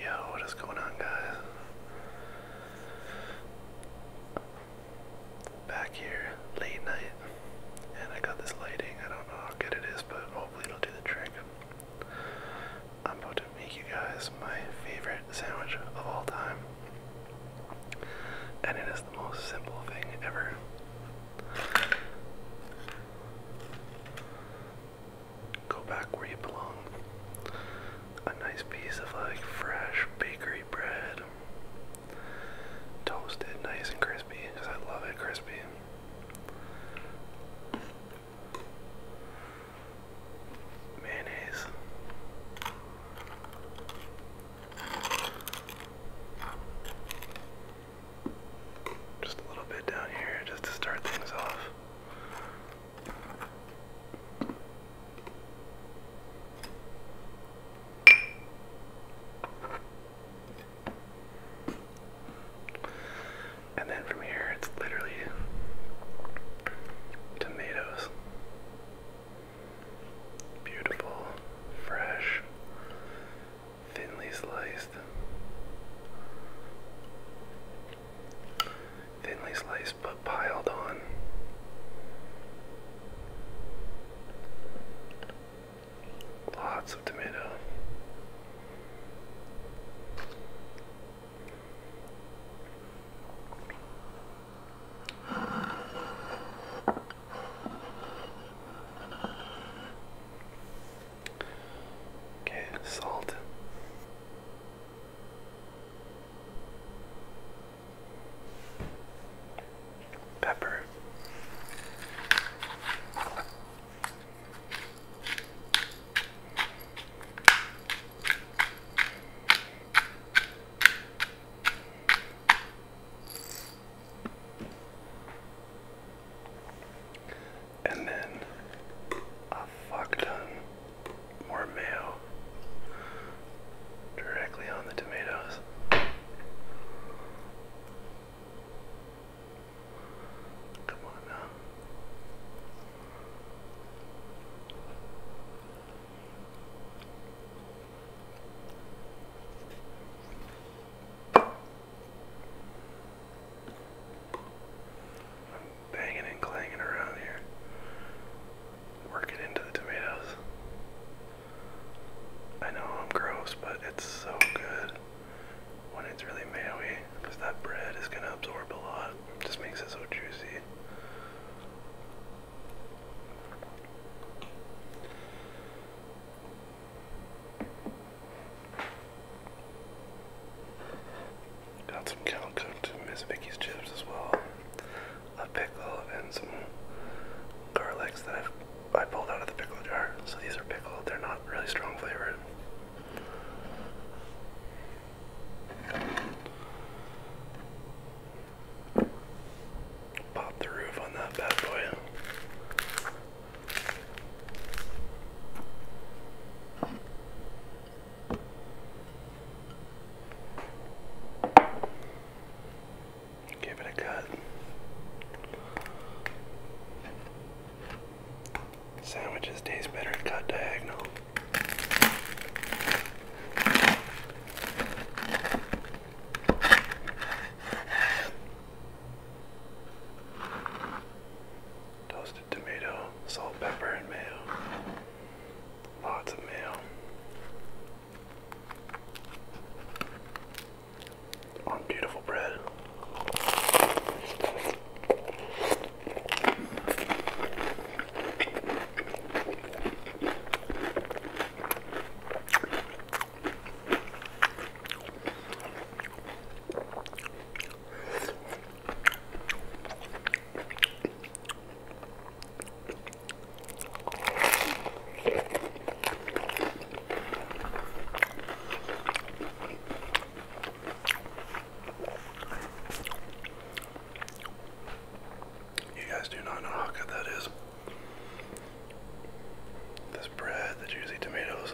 Yo, what is going on, guys? Back here, late night, and I got this lighting. I don't know how good it is, but hopefully it'll do the trick. I'm about to make you guys my favorite sandwich of all time, and it is the most simple thing ever go back where you belong. A nice piece of like fresh bakery bread, toasted, nice and crispy, because I love it crispy. Mayonnaise. Just a little bit down here just to start things off. And then from here, it's literally tomatoes. Beautiful, fresh, thinly sliced. Thinly sliced but piled on. Lots of tomato. Okay, salt. Pepper. And then a fuck more mayo directly on the tomatoes. Come on now. I'm banging and clanging around here. working into the tomatoes. I know I'm gross, but it's so good when it's really mayo because that bread is gonna absorb a lot. just makes it so juicy. Got some cow to Miss Vicky's chips as well, a pickle, and some garlics that I pulled out of the pickle jar. So these are pickled; they're not really strong flavored. Pop the roof on that bad boy. Give it a cut. Sandwiches taste better cut diagonal. Toasted tomato, salt, pepper, and mayo. Lots of mayo. On beautiful bread. You guys do not know how good that is. This bread, the juicy tomatoes,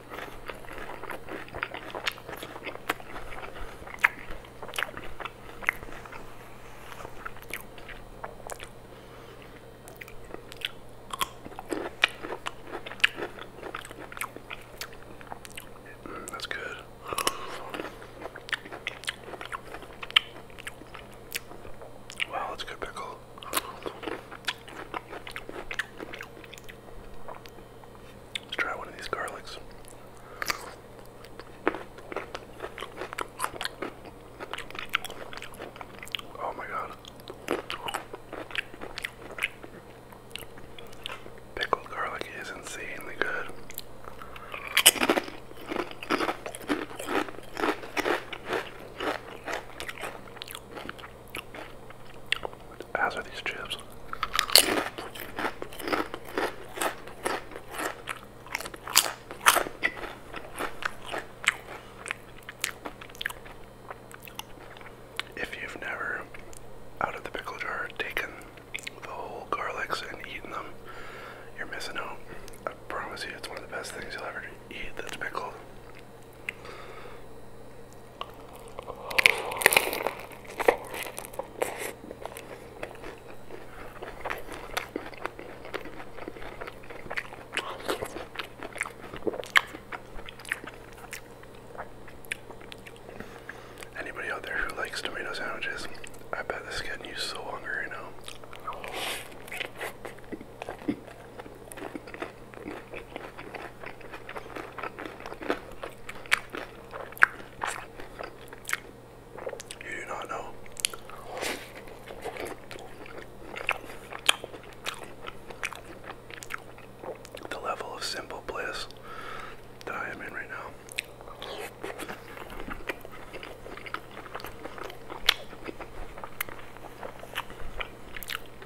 Mm, that's good. Wow, that's a good pickle. Let's try one of these garlics. Oh my god. Pickled garlic is insanely good. How are these chips. If you've never, out of the pickle jar, taken the whole garlics and eaten them, you're missing out. I promise you, it's one of the best things you'll ever eat that's pickle. Anybody out there who likes tomato sandwiches, I bet this is getting you so hungry now. You do not know. The level of simple bliss that I am in right now.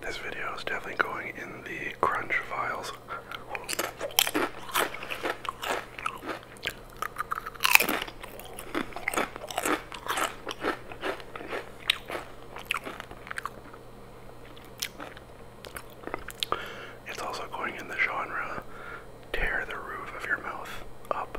This video is definitely going in the crunch files. It's also going in the genre tear the roof of your mouth up.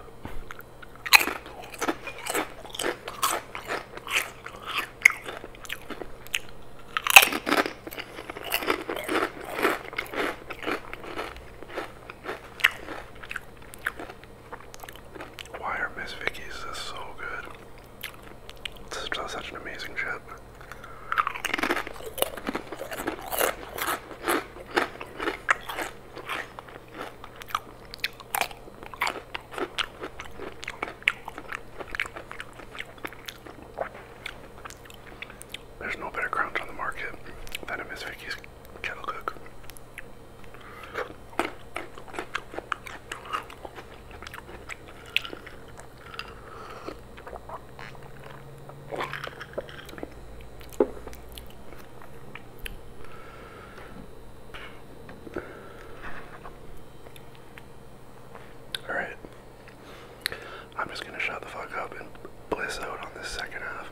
Why are Miss Vicky's so good? This is just such an amazing chip. There's no better crunch on the market than a Miss Vicky's Kettle Cook. Alright. I'm just gonna shut the fuck up and bliss out on this second half.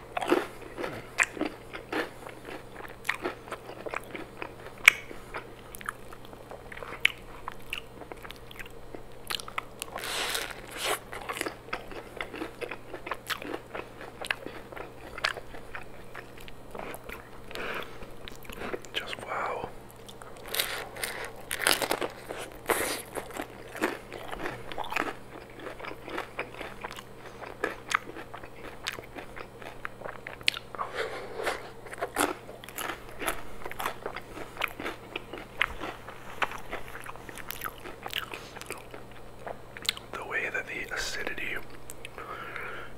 Just wow. The way that the acidity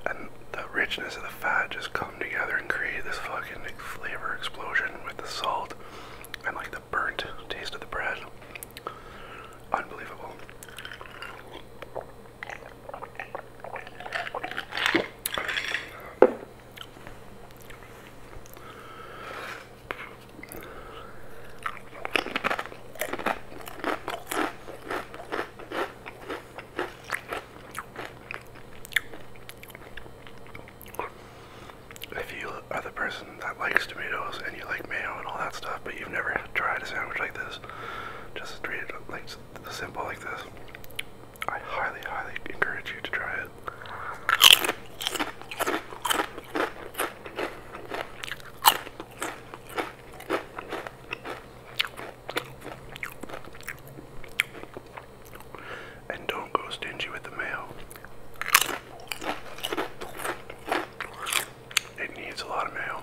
and the richness of the fat just come together and create this fucking flavor explosion with the salt and like the burnt taste of the bread. Unbelievable. If you are the person that likes tomatoes and you like mayo and all that stuff, but you've never tried a sandwich like this, just treat it like simple like this. I highly, highly encourage you to try it. And don't go stingy with the mayo. It needs a lot of mayo.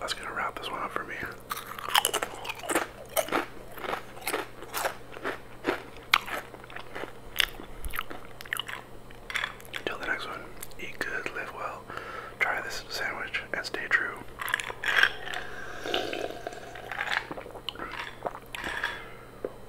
That's going to wrap this one up for me. Until the next one, eat good, live well, try this sandwich, and stay true.